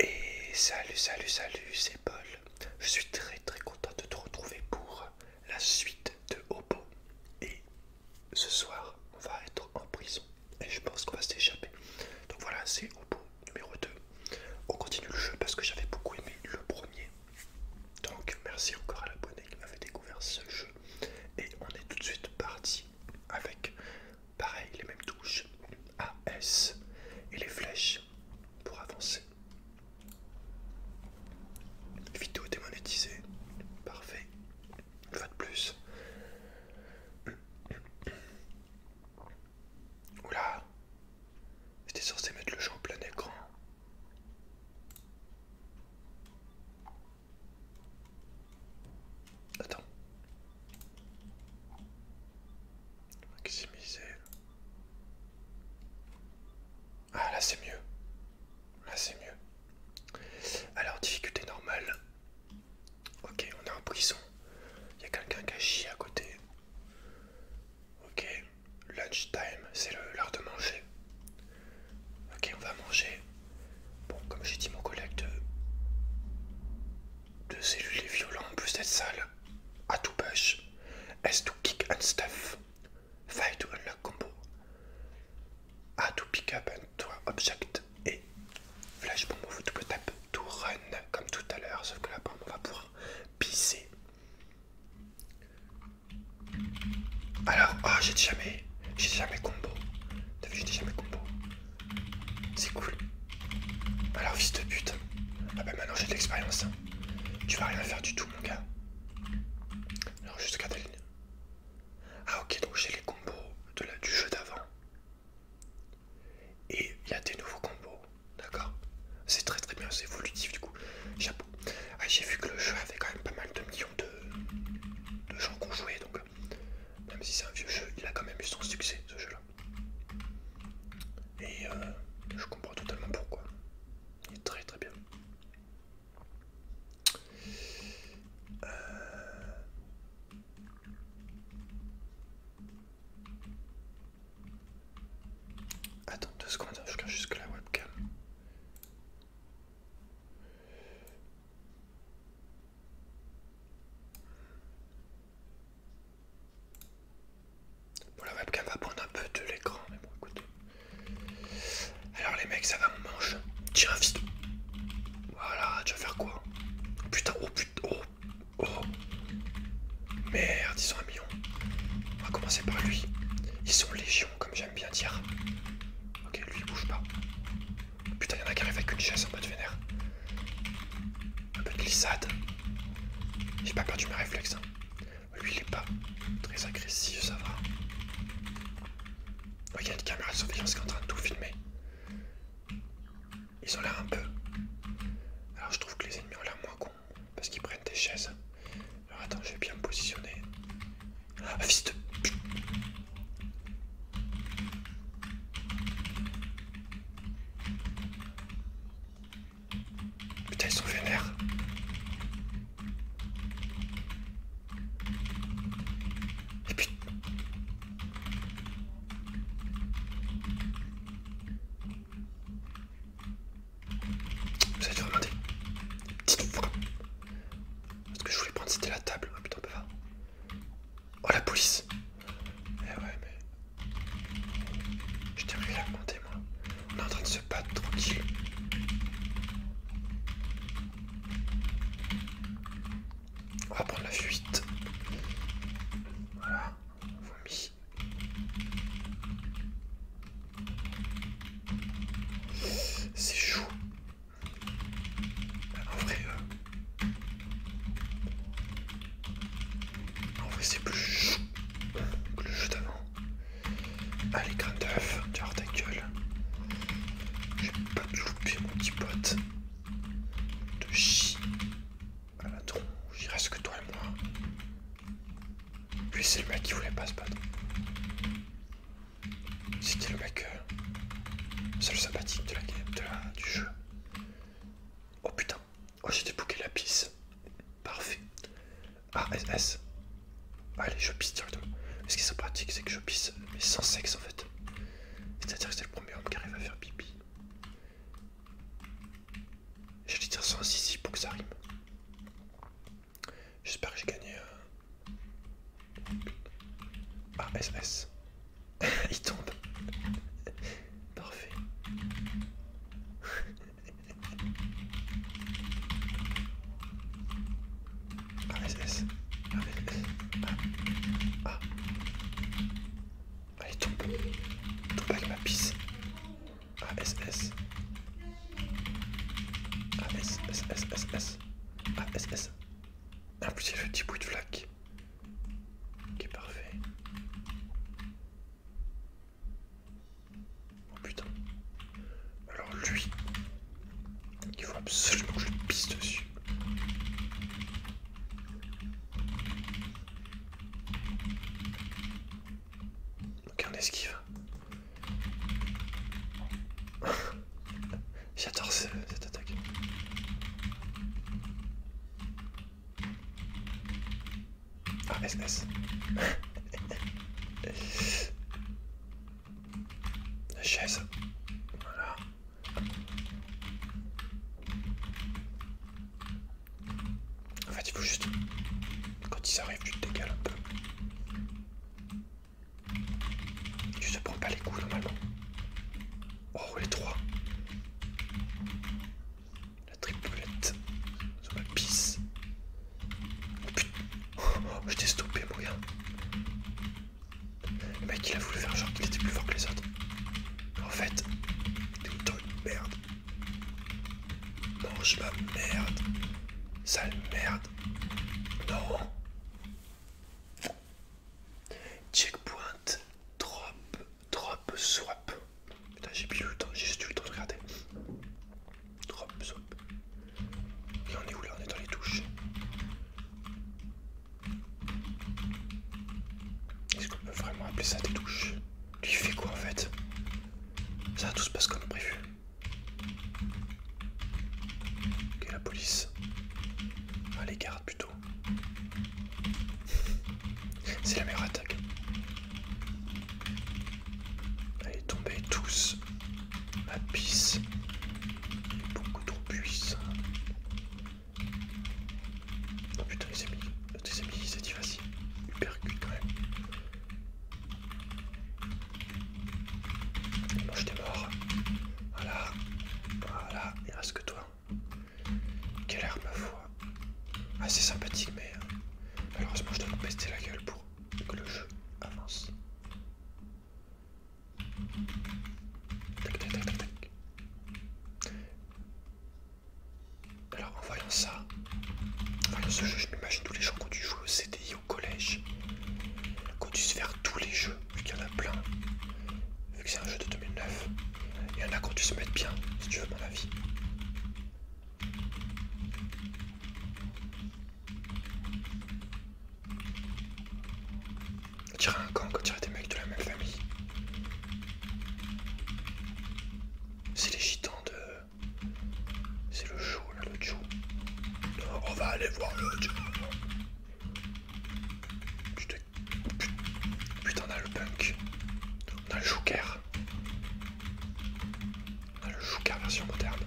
Et salut, salut, salut, c'est Paul. Je suis très très content de te retrouver pour la suite de Hobo. Et ce soir, on va être en prison. Et je pense qu'on va s'échapper. Donc voilà, c'est Hobo numéro 2. On continue le jeu parce que j'avais beaucoup aimé le premier. Donc merci encore à l'abonné qui m'avait découvert ce jeu. Et on est tout de suite parti avec Pareil, les mêmes touches. A, S et les flèches pour avancer. Vidéo démonétisée. Parfait. Une fois de plus. Oula. J'étais censé mettre le jeu en plein écran. Attends. Maximiser. Ah là c'est mieux. Là c'est mieux. Alors difficulté normale. Ok, on est en prison. Il y a quelqu'un qui a à côté. Ok, time c'est l'heure de manger. Ok, on va manger. Bon, comme j'ai dit, mon collègue de, cellule cellules est en plus d'être sale. A, to push, S to kick and stuff, fight to unlock combo, A to pick up and to object, et flash bomb tap to run, comme tout à l'heure, sauf que là on va pouvoir pisser. Alors, ah, j'ai jamais, j'ai jamais combo. T'as vu, jamais combo. C'est cool. Alors, fils de pute. Ah bah maintenant j'ai de l'expérience. Hein. Tu vas rien faire du tout, mon gars. Alors, jusqu'à ta Ah ok, donc j'ai les combos de la... du jeu d'avant. Et il y a des nouveaux combos. D'accord C'est très très bien, c'est évolutif du coup. Chapeau. Ah, j'ai vu que le jeu avait quand même pas mal de millions de, de gens qui ont joué, donc même si c'est un vieux jeu, il a quand même eu son succès ce jeu-là. Et euh, je comprends totalement pourquoi. Il est très très bien. Euh. Attends deux secondes, hein, je garde jusque la webcam. Bon, la webcam va prendre un peu de l'écran, mais bon, écoute, Alors, les mecs, ça va, on mange. Tiens, vite, Voilà, tu vas faire quoi oh, Putain, oh putain, oh, oh. Merde, ils sont un hein. million. On va commencer par lui. Ils sont légion, comme j'aime bien dire. Ok, lui, il bouge pas. Putain, il y en a qui arrivent avec une chaise en mode vénère un peu de glissade. J'ai pas perdu mes réflexes. Hein. Lui, il est pas très agressif, ça va. Oh, il y a une caméra de surveillance qui est en train de tout filmer. Ils ont l'air un peu. Alors, je trouve que les ennemis ont l'air moins cons parce qu'ils prennent des chaises. Alors, attends, je vais bien me positionner. Ah, Putain, ils sont vénères. Et putain, Vous avez vraiment des petites fois. Ce que je voulais prendre, c'était la table. Oh putain, bah va. Oh la police eh ouais, mais. Je t'ai rien moi. On est en train de se battre tranquille. On va prendre la fuite. Voilà, vomi. C'est chaud. En vrai, euh, en vrai, c'est plus chou que le jeu d'avant. Allez, grain d'œuf, as ta gueule. J'ai pas de louper mon petit pote. De chien. Ah la reste que toi et moi. Puis c'est le mec qui voulait pas se battre. C'était le mec euh, seul sympathique de la game, du jeu. Oh putain, Oh, j'ai débouqué la pisse. Parfait. Ah, SS. Allez, je pisse directement. Mais ce qui est pratique, c'est que je pisse, mais sans sexe en fait. C'est-à-dire que c'est le premier homme qui arrive à faire pipi. Je vais dire sans ici pour que ça rime. J'espère que j'ai gagné. Ah, euh, SS. Il tombe. Parfait. AVS, AVS, ah, ah. Allez, tombe. Tombe avec ma pisse. Ah, S ASSSSS. S. En plus, il y a le petit bout de flaque. Qui est parfait. Oh putain. Alors lui, il faut absolument que je pisse dessus. Aucun esquive. J'adore cette attaque. Ah, SS. La chaise. Voilà. En fait, il faut juste. Quand ils arrivent, tu te dégales un peu. Tu te prends pas les coups normalement. Oh, les trois. La triplette. Sur ma pisse. Oh putain. Oh, oh je t'ai stoppé, bouillard. Le mec, il a voulu faire genre qu'il était plus fort que les autres. En fait, t'es une merde. Mange ma merde. Sale merde. Non. Checkpoint. Drop. Drop Swap. Putain, j'ai plus le temps, j'ai juste eu le temps de regarder. Drop Swap. Et on est où là On est dans les touches. Est-ce qu'on peut vraiment appeler ça des touches Lui il fait quoi en fait Ça tout se passe comme prévu. Ok la police. Ah les gardes plutôt. C'est la meilleure attaque. Allez, tombez tous. Ma pisse est beaucoup trop puissant. Oh putain, les amis, oh, T'es amis, s'est dit vas-y, quand même. je t'ai mort, Voilà, voilà, il reste que toi. Quelle arme à foi. Assez ah, sympathique, mais euh, malheureusement, je dois me pester la gueule pour que le jeu avance. Alors, en voyant ça, en voyant ce jeu, je m'imagine tous les gens qui ont dû jouer au CDI au collège, qui ont dû se faire tous les jeux, vu qu'il y en a plein, vu que c'est un jeu de 2009. Il y en a qui ont dû se mettre bien, si tu veux mon avis. On dirait un gang, on dirait des mecs de la même famille. C'est les gitans de... C'est le show le On va aller voir le show. Putain, on a le punk. On a le joker. On ah, a le Jouka version moderne.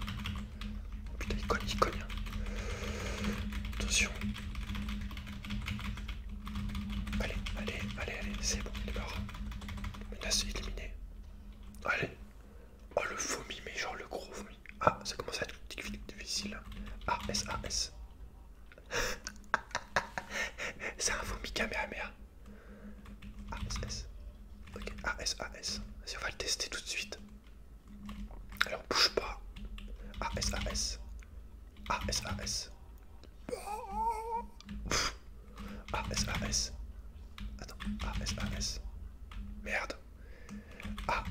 Oh putain, il cogne, il cogne. Hein. Attention. Allez, allez, allez, allez, c'est bon, il est mort. Menace éliminée. Allez. Oh le vomi, mais genre le gros vomi. Ah, ça commence à être difficile. Hein. A, S, A, S. C'est un vomi caméra S, Ok, ASAS. Vas-y, on va le tester tout de suite. Alors, bouge pas. ASAS. ASAS. ASAS. Attends, ASAS. Merde.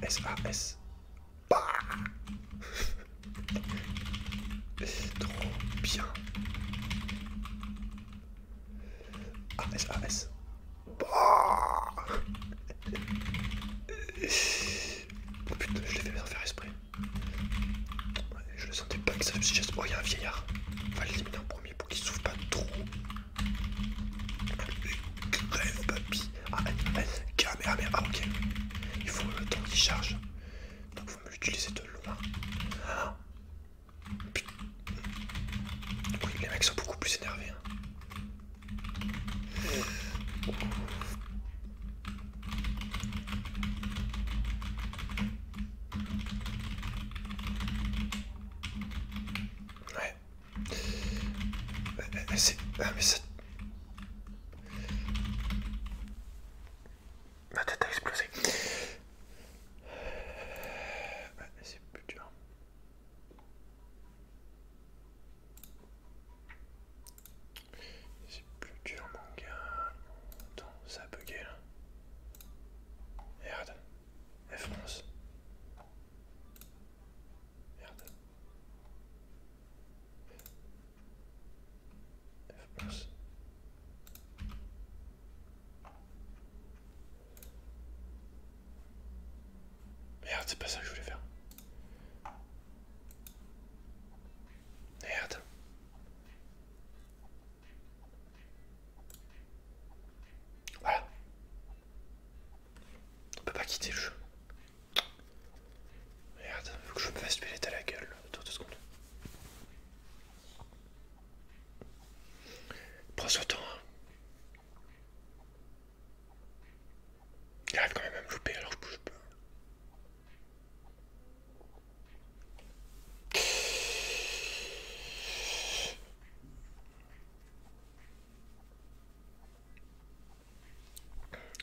ASAS. Bah Trop bien. AS, AS. bon bah. oh, putain, je l'ai fait sans faire esprit. Je le sentais pas que ça me suggeste. Oh, y'a y a un vieillard. On va l'éliminer en premier pour qu'il s'ouvre pas trop. Crève, papy. Ah, merde ah, ok. Il faut le temps qu'il charge. Donc, il faut me l'utiliser de loin. Oui, les mecs sont beaucoup plus énervés. Hein. Ouais. Euh, euh, ah mais ça... Ma tête a explosé. C'est plus dur. C'est plus dur mon gars. Attends, ça a bugué là. Merde. F11. Merde. F11. Merde, c'est pas ça que je voulais faire. Merde. Voilà. On peut pas quitter le jeu. Merde, faut que je me fasse pilette à la gueule. Attends deux secondes. Prends son temps. Hein. Il arrive quand même à me louper alors je bouge pas.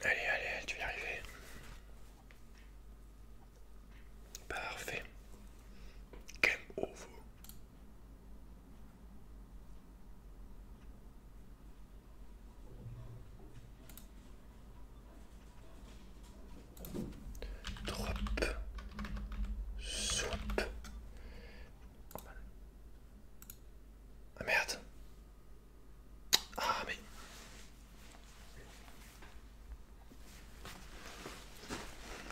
Allez, allez, tu vas y arriver. Parfait. Game over. Drop. Swap. Ah merde. Ah mais...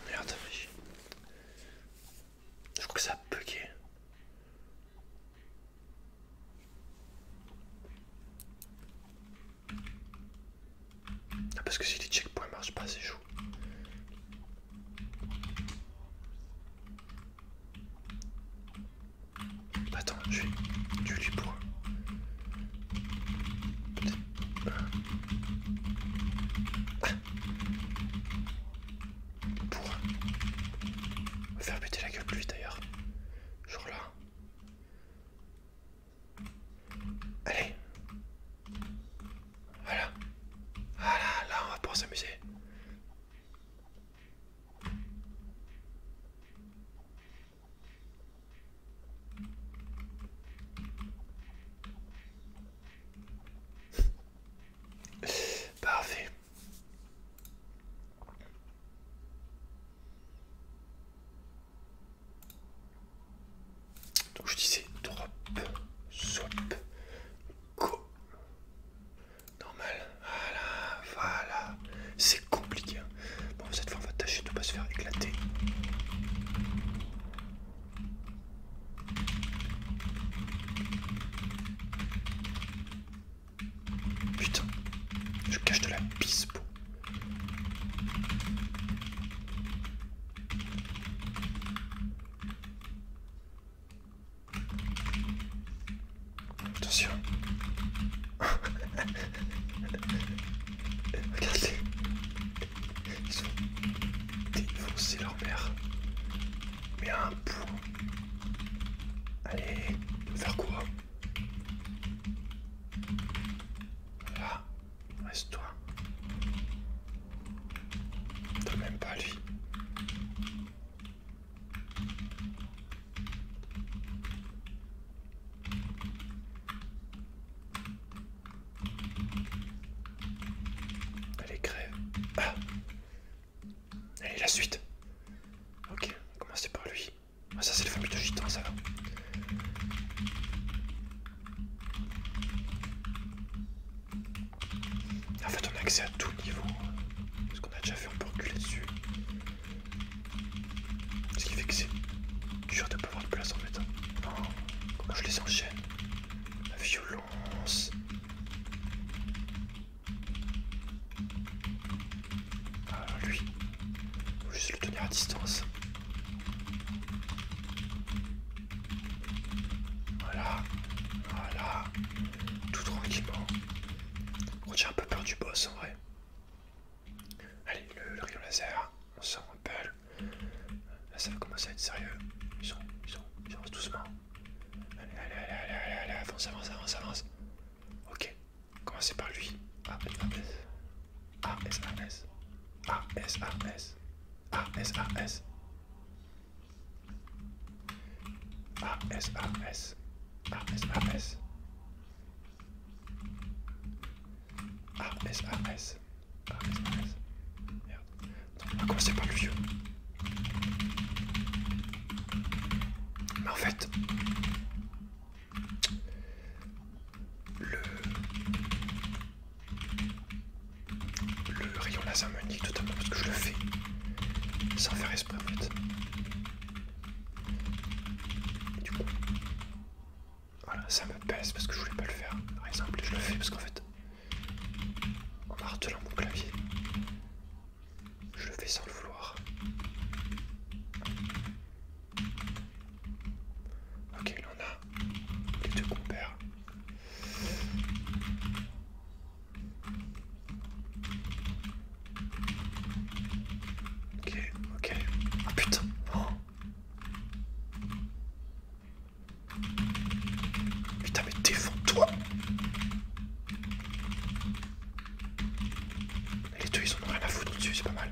Merde, je crois que ça a bugué. Ah, parce que si les checkpoints marchent pas, c'est chaud. Attends, je vais. Du lui point. Pour faire péter la gueule de lui d'ailleurs. Genre là. Allez. Voilà. Voilà, là on va pouvoir s'amuser. Parfait. Donc je disais drop, swap, go. Normal. Voilà, voilà. C'est compliqué. Hein. Bon, cette fois on va tâcher de ne pas se faire éclater. Putain, je cache de la pisse. Attention. Regardez. Ils ont défoncé leur mère. Mais un point. Allez, faire quoi Là, reste-toi. T'as même pas lui. Allez, crève. Ah Allez, la suite. Ok, on va commencer par lui. Ah, ça, c'est le fameux de gitan, ça va. En fait, on a accès à tout niveau. Parce qu'on a déjà fait un peu reculer dessus. Ce qui fait que c'est dur de pas avoir de place en fait. Non, hein. comment je les enchaîne La violence. Ah, lui. Faut juste le tenir à distance. Voilà, voilà, tout tranquillement. On J'ai un peu peur du boss en vrai. Allez, le, rayon laser, on s'en rappelle. Là, ça commence à être sérieux. Ils sont, ils sont, ils avancent doucement. Allez, allez, allez, allez, allez, avance, avance, avance, avance. Ok, commencez par lui. A, S, A, S. A, S, A, S. A, S, A, S. A, S, A, S. A, S. A, S. A, S. A, S. Ah, ça Merde. on va commencer par le vieux. Mais en fait, le, le rayon laser me nique totalement parce que je le fais sans faire esprit en fait. Du coup, voilà, ça me pèse parce que je voulais pas le faire. Par exemple, je le fais parce qu'en fait, en martelant mon clavier. Je le fais sans le vouloir. Ok, il en a. Les deux compères. Ok, ok. Ah putain. Oh. Putain, mais défends-toi Les deux, ils ont rien à foutre dessus c'est pas mal.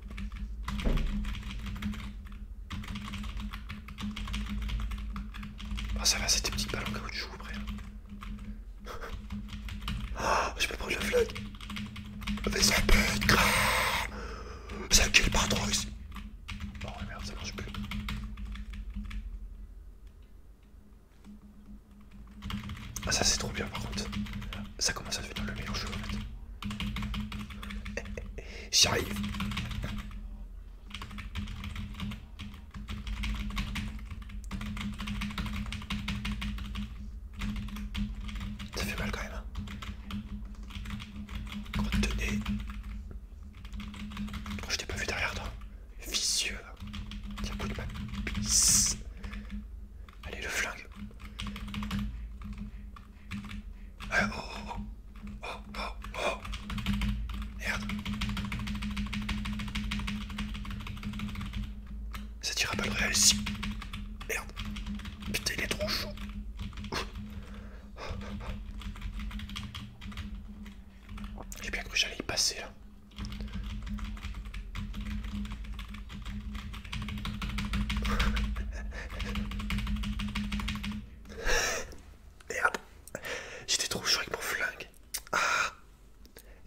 Ah, ça va, c'était petite balle joues après. Ah, je vais prendre le flotte. Mais ça merde, ça plus. Ah, ça c'est trop bien par contre. Ça commence à devenir le meilleur jeu en fait. Eh, eh, eh, J'y arrive. Ça fait mal quand même. Contenez. Hein. Oh, je t'ai pas vu derrière toi. Vicieux Tiens, coup de ma pisse. Allez, le flingue. oh, oh, oh. Oh, Merde. Ça tira pas le réel si. Merde. Putain, il est trop chaud. J'ai bien cru que j'allais y passer là. Merde, j'étais trop chaud avec mon flingue. Ah,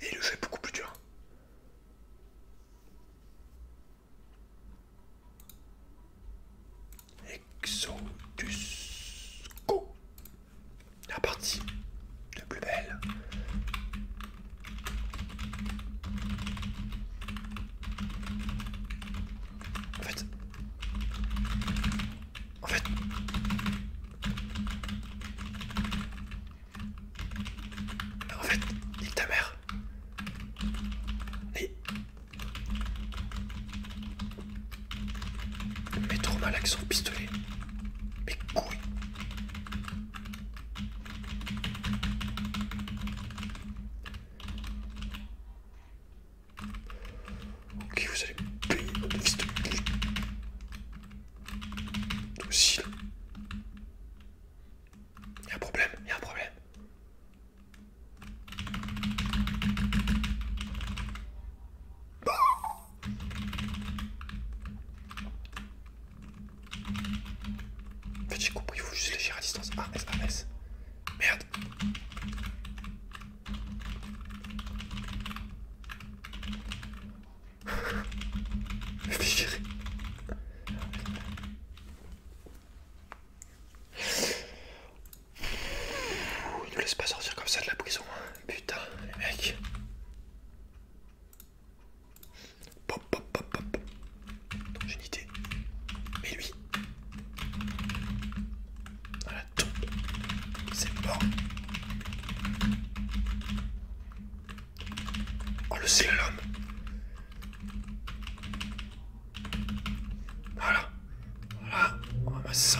et le jeu est beaucoup plus dur. Exodusco, La partie de plus belle en fait. En fait. En fait, il ta mère. Mais trop mal avec son pistolet. Mais couille. Ok, vous allez payer votre fils de pute. Toi aussi, y a un problème, y a un problème j'ai compris, il faut juste les gérer à distance. Ah, Merde. nous laisse pas sortir comme ça de la prison. Hein. Putain, les Pop, pop, pop, pop. J'ai Mais lui. il tombe. C'est bon. on oh, le l'homme. Voilà. Voilà. On va ça.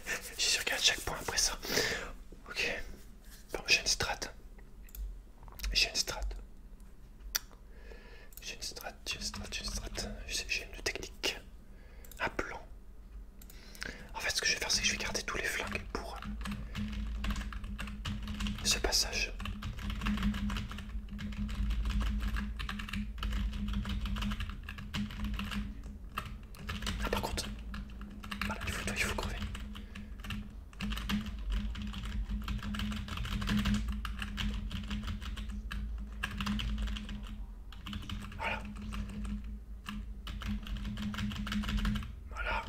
Je suis sûr à chaque point après ça. Ok. Bon, j'ai une strat. J'ai une strat. J'ai une strat, j'ai une strat, j'ai une strat. J'ai une technique. Un plan. En fait, ce que je vais faire, c'est que je vais garder tous les flingues pour ce passage. Ah par contre, voilà, il faut, il faut crever. Voilà. Voilà.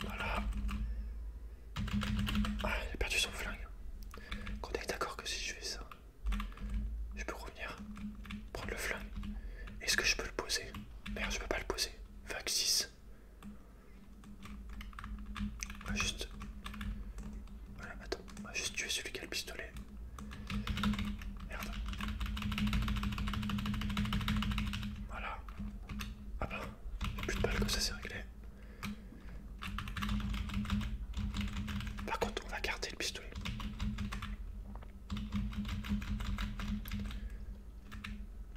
Voilà. Ah, il a perdu son flingue. Qu'on est d'accord que si je fais ça, je peux revenir, prendre le flingue. Est-ce que je peux le poser Merde, je peux pas le poser. vaxis 6. On va juste. Voilà, attends, on va juste tuer celui qui a le pistolet. Merde. Voilà. Ah bah, plus de balles comme ça, c'est réglé. Par contre, on va garder le pistolet.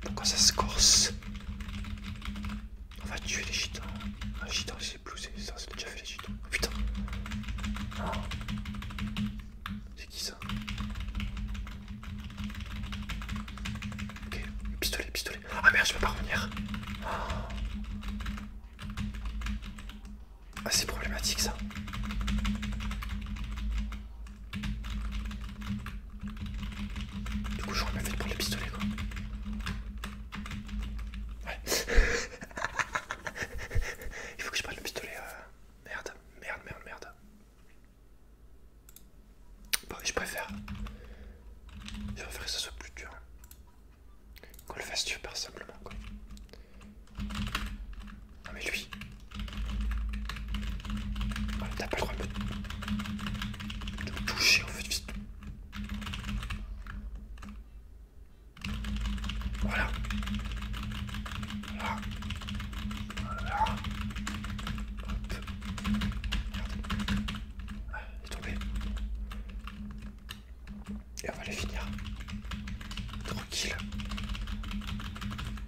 Pourquoi ça se corse On va tuer les gitans. Un gitan, c'est ça c'est déjà fait les tout putain ah. C'est qui ça Ok, pistolet, pistolet. Ah merde, je peux pas revenir. Ah, c'est problématique ça. Du coup, j'aurais mieux fait de prendre les pistolets quoi. Il faut que je prenne le pistolet. Euh, merde, merde, merde, merde. je préfère. Je préfère que ça soit plus dur. Qu'on le fasse super simplement, quoi. Non, mais lui. Ah, t'as pas le droit de de me toucher, en fait, vite. Voilà. Voilà. Voilà. Hop. il est tombé. Et on va les finir. Tranquille.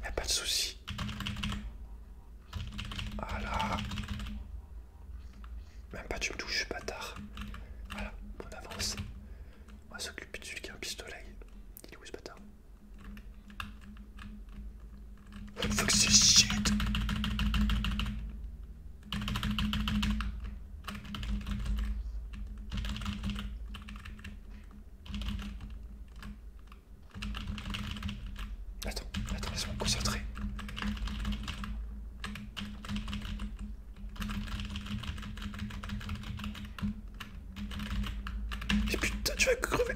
Y'a pas de soucis, Voilà. Même pas tu me touches, bâtard. Voilà, on avance. On va s'occuper de celui qui a un pistolet. Il est où ce bâtard Fuck c'est shit Attends, attends, laisse-moi me concentrer putain, tu vas crever.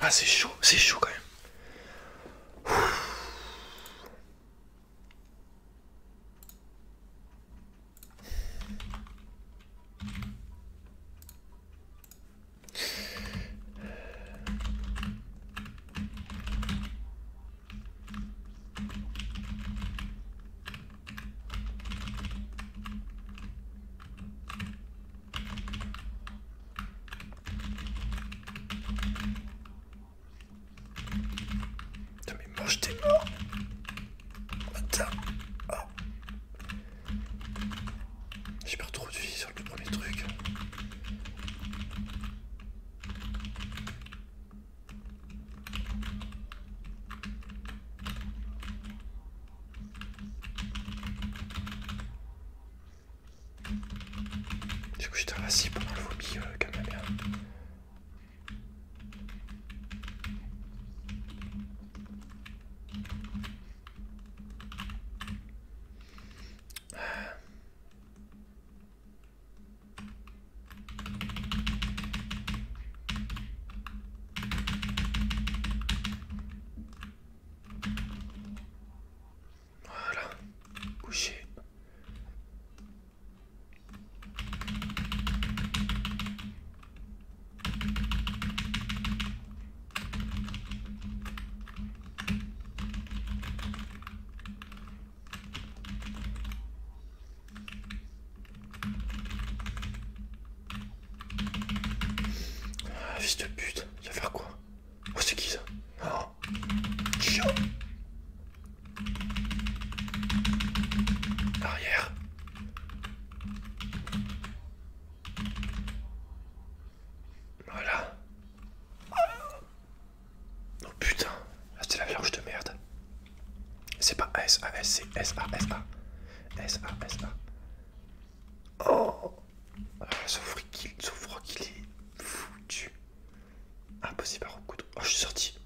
Ah c'est chaud, c'est chaud quand même. Putain mais mange tes morts Putain ah. J'ai perdu trop de vie sur le premier truc. Du coup, j'étais assis pendant le vomi, quand euh, calme la voilà, couché. Ah, fils de pute, tu va faire quoi Oh, c'est qui ça oh. Arrière. Voilà. Oh putain, ah, c'est la planche de merde. C'est pas S A S c'est S A S A S A S A. Oh Sauf qu'il est foutu. Impossible à recoudre. Oh, je suis sorti.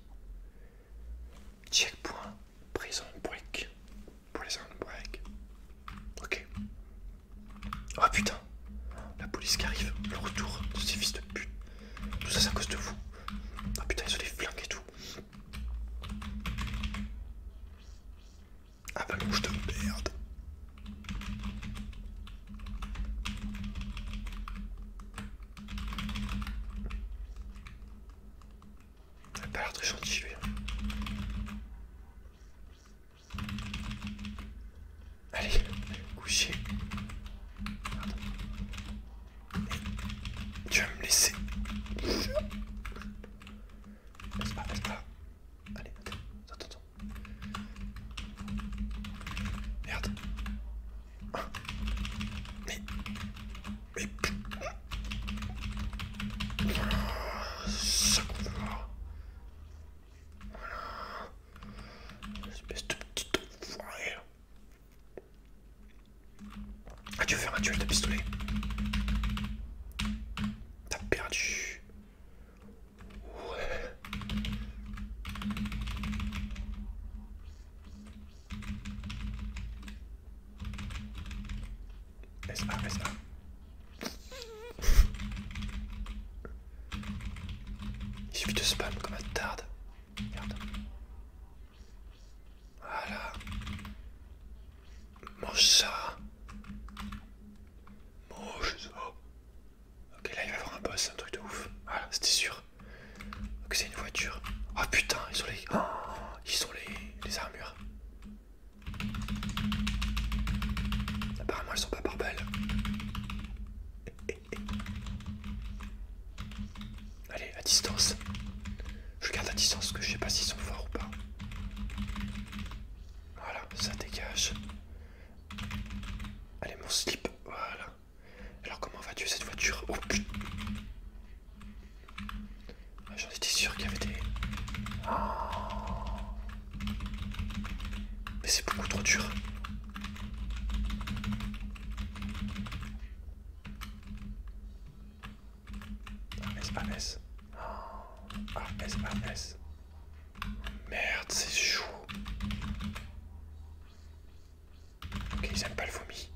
Checkpoint. Prison break. Prison break. Ok. Oh putain. La police qui arrive. Le retour de ces fils de pute. Tout ça, c'est à cause de vous. Oh putain, ils ont des flingues et tout. Ah, bouge bah, de merde. T'as a pas l'air très gentil Allez, coucher. Pardon. Tu vas me laisser. Laisse moi pas. Allez, attends, attends. Merde. Mais. Mais. Voilà. Ça qu'on Voilà. Espèce de Ah, tu veux faire un duel de pistolet T'as perdu. Ouais. SA, SA. Il suffit de spam comme un tarde. Regarde. Voilà. Mange ça. Mange ça. Ok, là il va y avoir un boss, un truc de ouf. Voilà, ah, c'était sûr. Ok, c'est une voiture. oh, putain, ils sont les. Oh, ils sont les, armures. Apparemment, elles sont pas par Allez, à distance. Je garde à distance que je sais pas s'ils sont forts ou pas. Voilà, ça dégage. Allez, mon slip, voilà. Alors, comment vas-tu cette voiture Oh putain ah, J'en étais sûr qu'il y avait des. Ah. Mais c'est beaucoup trop dur. Ah, Ah c'est pas, Merde, c'est chaud. Ok, ils aiment pas le vomi.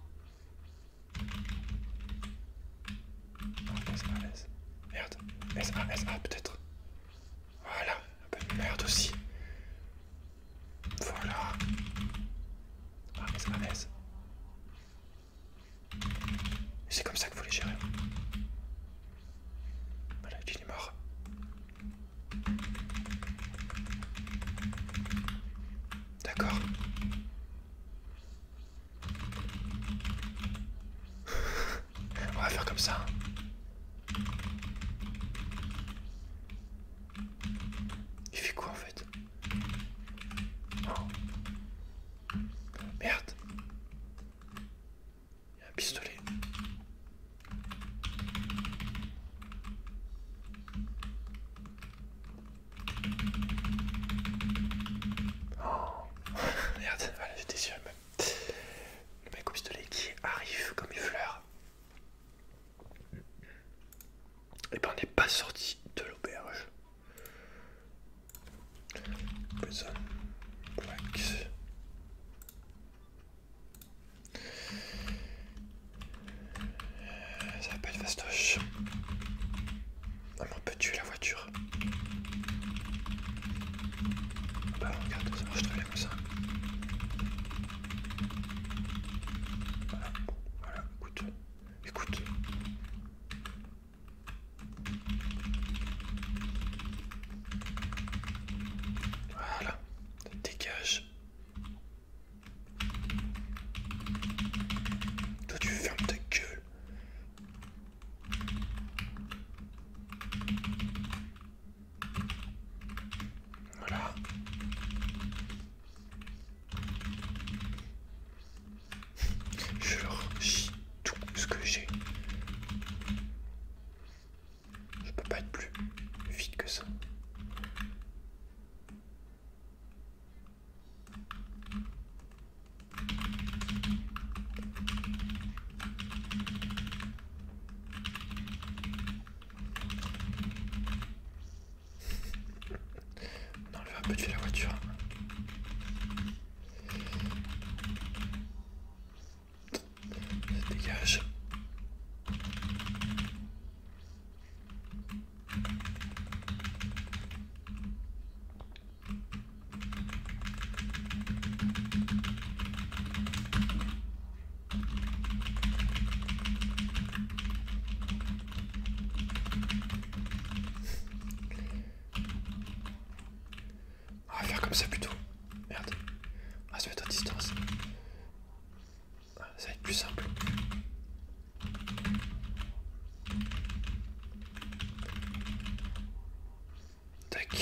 Merde. S A S A peut-être. Voilà. Un peu de merde aussi. Voilà. Ah, C'est comme ça qu'il faut les gérer. Voilà, il est mort. D'accord. On va faire comme ça. Il fait quoi en fait oh. Merde un pistolet. Oh Merde, voilà, j'étais sûr même. Le mec au pistolet qui arrive comme une fleur. Et eh ben on n'est pas sorti de l'auberge. Prison ça va pas être fastoche. Elle tuer la voiture. Bah regarde, ça marche très bien comme ça. Voilà, voilà, écoute, écoute. Voilà, Dégage. Toi tu fermes ta gueule. Voilà. Je leur chie tout ce que j'ai. Je peux pas être plus vite que ça. Non, enlève un peu de la voiture dégage. On va faire comme ça plutôt. Merde. On ah, va se mettre à distance. Ah, ça va être plus simple. Tac,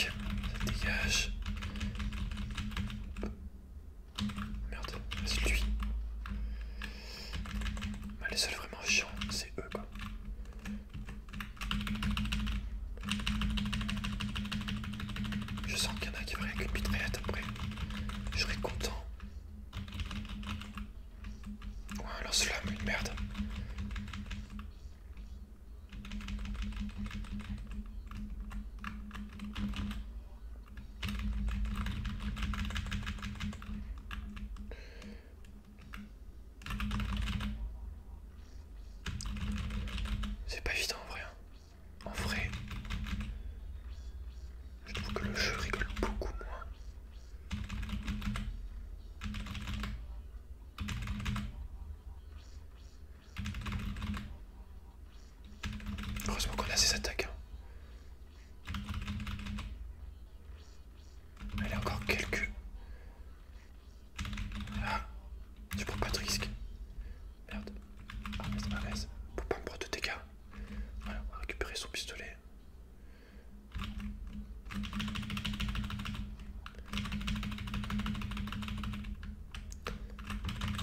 ça dégage. Merde, c'est lui. Ah, les seuls vraiment chiants, c'est eux quoi. Je sens qu'il y en a qui vont que une après. Je content. Ouais, lance met une merde. C'est pas évident en vrai. Hein. En vrai, je trouve que le jeu rigole beaucoup moins. Heureusement qu'on a ces attaques. Hein. Elle a encore quelques. Ah, tu prends pas de risque. Merde. Ah, reste ma reste. Pour pas me prendre de dégâts. Voilà, on va récupérer son pistolet.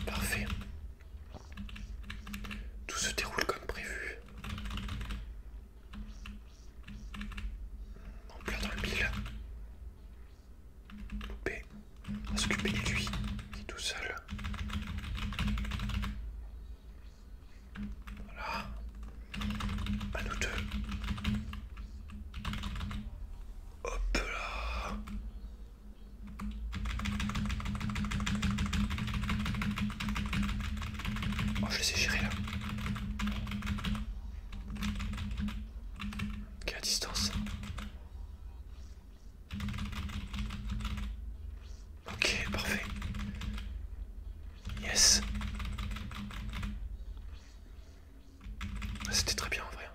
Parfait. Tout se déroule comme prévu. En plein dans le mille. Loupé, à s'occuper de lui, qui est tout seul. Voilà, à nous deux. Hop là Oh, je le sais gérer là. Quelle distance Ok, parfait. Yes. Ah, c'était très bien en vrai.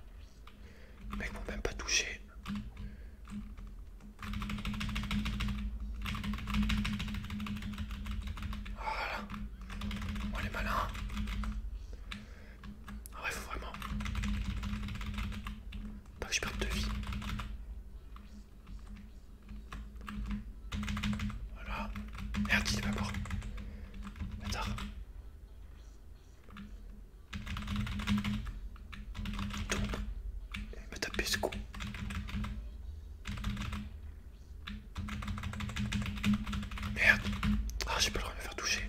Les mecs m'ont même pas touché. Voilà. On est malin. Ah il faut vraiment pas que je perde de vie. Voilà. Merde, il est pas mort. Bâtard. Tombe. Il m'a tapé ce coup. Merde. Ah, j'ai pas le droit de me faire toucher.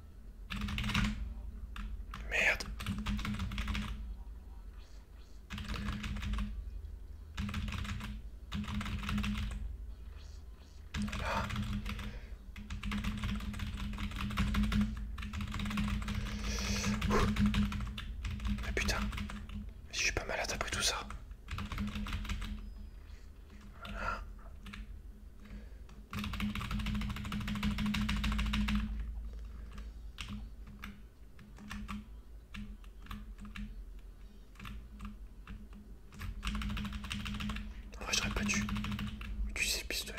Merde. Ah. Mais putain, je suis pas malade après tout ça. Je n'aurais pas dû utiliser le pistolet.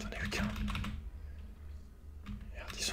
J'en ai eu qu'un. Merde, ils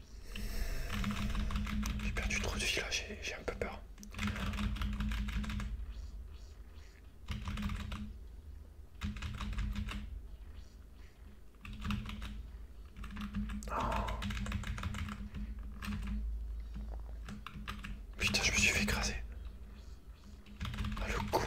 J'ai perdu trop de vie là, j'ai un peu peur. Oh. Putain, je me suis fait écraser. Ah, le coup.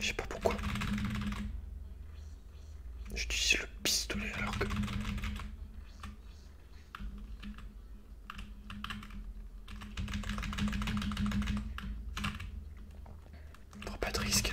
Je sais pas pourquoi. J'utilise le pistolet alors que... Pour pas de risque.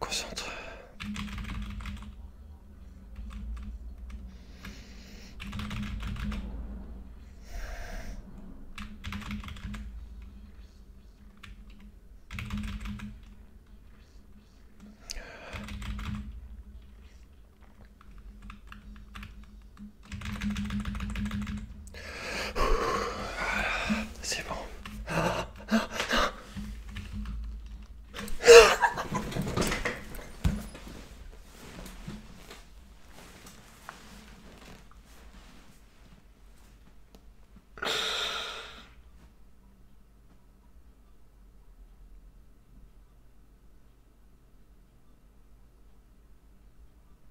concentre. C'est bon.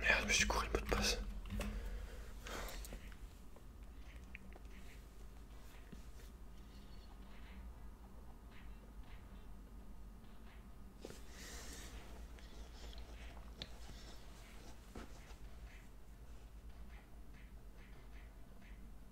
Merde, je me suis couru le mot de passe.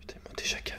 Putain, ils déjà cavé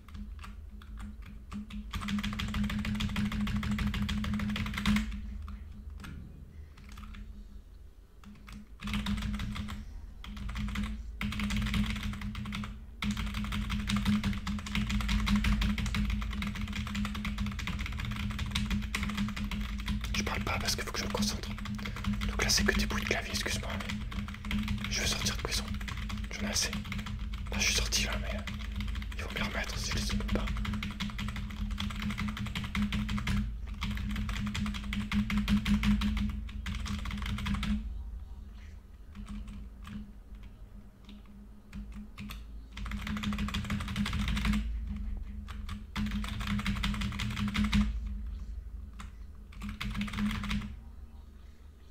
Je parle pas parce qu'il faut que je me concentre. Donc là c'est que des bruits de clavier, excuse-moi. Je veux sortir de prison. J'en ai assez. je suis sorti là, mais il faut me remettre si les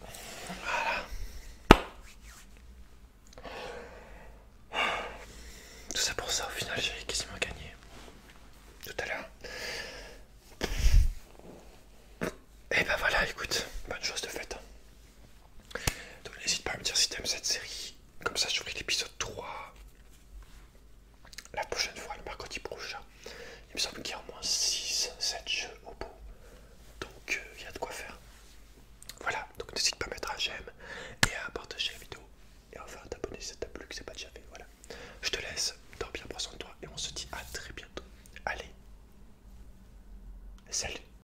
Voilà. Tout ça pour ça, au final, j'ai quasiment gagné. Tout à l'heure. Et eh ben voilà, écoute, bonne chose de faite. Hein. Donc n'hésite pas à me dire si t'aimes cette série. Comme ça, je ferai l'épisode 3 la prochaine fois, le mercredi prochain. Il me semble qu'il y a au moins 6, 7 jeux au bout. Donc euh, il y a de quoi faire. Voilà, donc n'hésite pas à mettre un j'aime et à partager la vidéo. Et enfin à t'abonner si ça t'a plu, que c'est pas déjà fait. Voilà. Je te laisse, dormir bien, proche de toi et on se dit à très bientôt. Allez, salut